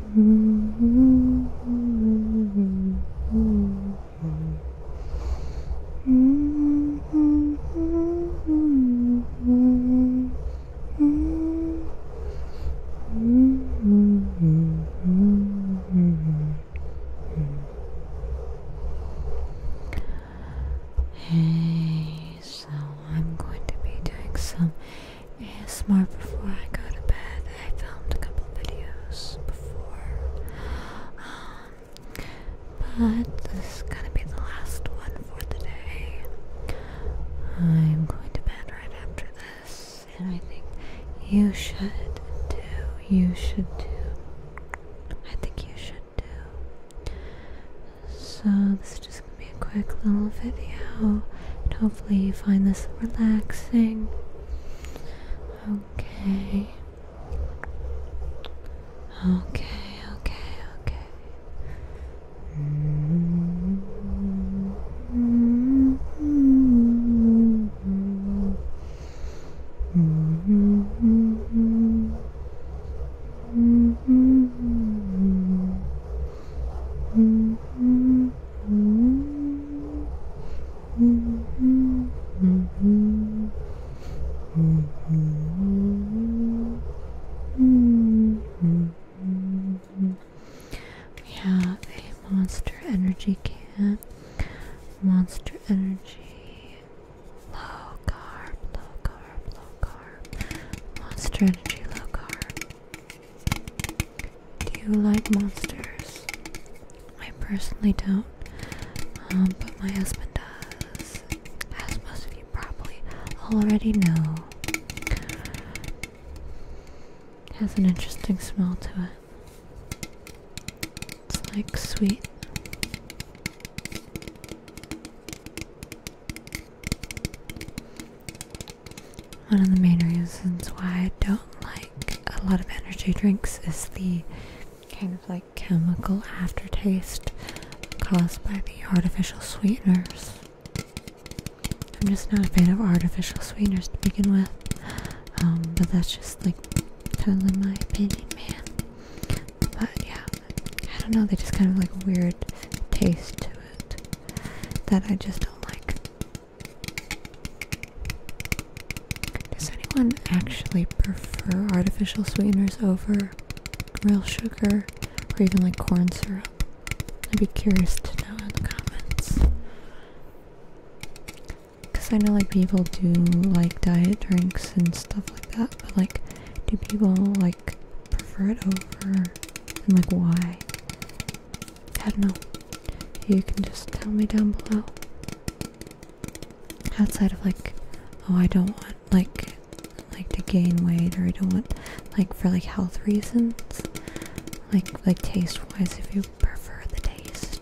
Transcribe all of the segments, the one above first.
Hey, so I'm going to be doing some and smart. before I go to bed. I filmed a couple videos before. Um, but this is gonna be the last one for the day. I'm going to bed right after this, and I think you should too. You should too. I think you should too. So this is just gonna be a quick little video and hopefully you find this relaxing. Okay. Okay, okay, okay. Mm -hmm, mm -hmm, mm -hmm, mm -hmm, mm -hmm, -hmm. We have a monster energy can, monster energy, low carb, low carb low carb, monster energy, low carb. Do you like monsters? I personally don't, um, but my husband does. As most of you probably already know, has an interesting smell to it. It's like sweet. One of the main reasons why I don't like a lot of energy drinks is the kind of like chemical aftertaste caused by the artificial sweeteners. I'm just not a fan of artificial sweeteners to begin with, um, but that's just like totally my opinion, man. But yeah, I don't know, they just kind of like weird taste to it that I just don't like. Does anyone actually prefer artificial sweeteners over real sugar or even like corn syrup? I'd be curious to know in the comments. Because I know like people do like diet drinks and stuff like that, but like do people like prefer it over and like why? I don't know. You can just tell me down below. Outside of like, oh, I don't want like like to gain weight or I don't want like for like health reasons, like like taste wise, if you prefer the taste.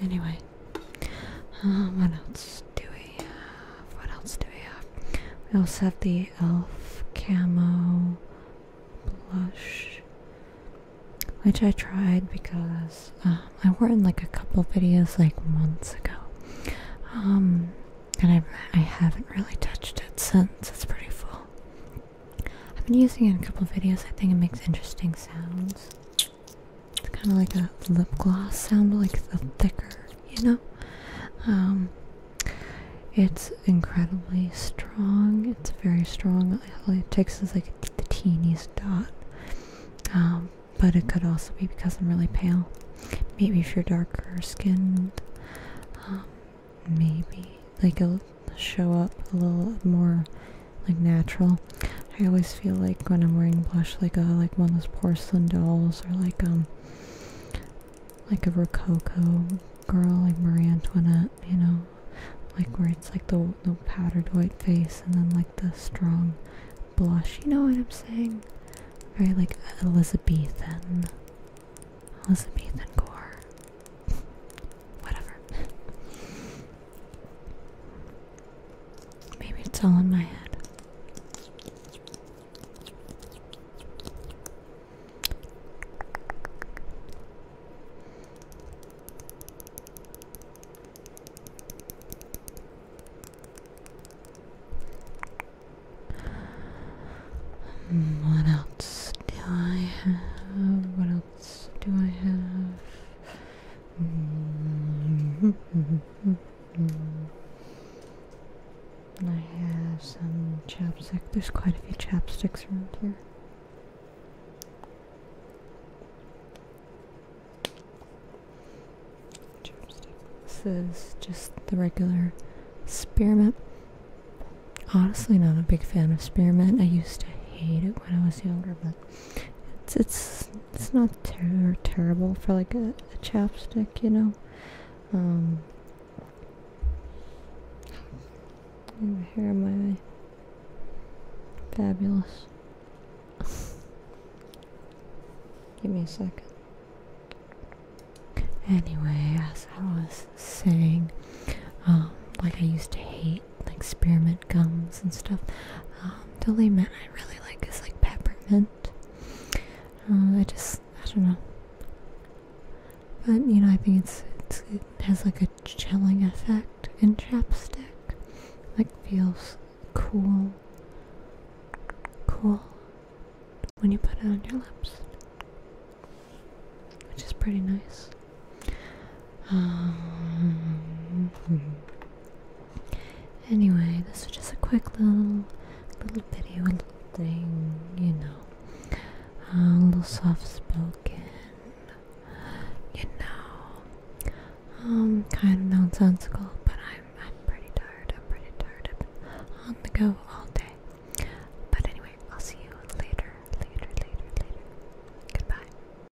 Anyway, um, what else do we have? What else do we have? We also have the e.l.f. Camo Blush, which I tried because um, I wore it in like a couple videos like months ago. Um, and I, I haven't really touched it since. It's pretty full. I've been using it in a couple videos. I think it makes interesting sounds. It's kind of like a lip gloss sound, like the thicker, you know? Um, it's incredibly strong. It's very strong. All it takes is like the teeniest dot. Um, but it could also be because I'm really pale. Maybe if you're darker skinned, um, maybe like it'll show up a little more like natural. I always feel like when I'm wearing blush, like a uh, like one of those porcelain dolls or like um like a Rococo girl, like Marie Antoinette, you know, like where it's like the, the powdered white face and then like the strong blush. You know what I'm saying? Very like Elizabethan, Elizabethan core. Whatever. Maybe it's all in my head. What else do I have? What else do I have? Mm. I have some chapstick. There's quite a few chapsticks around here. This is just the regular spearmint. Honestly, not a big fan of spearmint. I used to hate it when I was younger, but it's it's it's not ter terrible for like a, chapstick, you know. Um, my fabulous. Give me a second. Anyway, as I was saying, um, like I used to hate like spearmint gums and stuff. Um, the only mint I really like is like peppermint. Um, I just I don't know, but you know I think it's, it's it has like a chilling effect in chapstick. Like feels cool, cool when you put it on your lips, which is pretty nice. Um, anyway, this was just a quick little little video, little thing, you know, a little soft-spoken, you know, um, kind of nonsensical. But I'm I'm pretty tired. I'm pretty tired. on the go all day. But anyway, I'll see you later, later, later, later. Goodbye.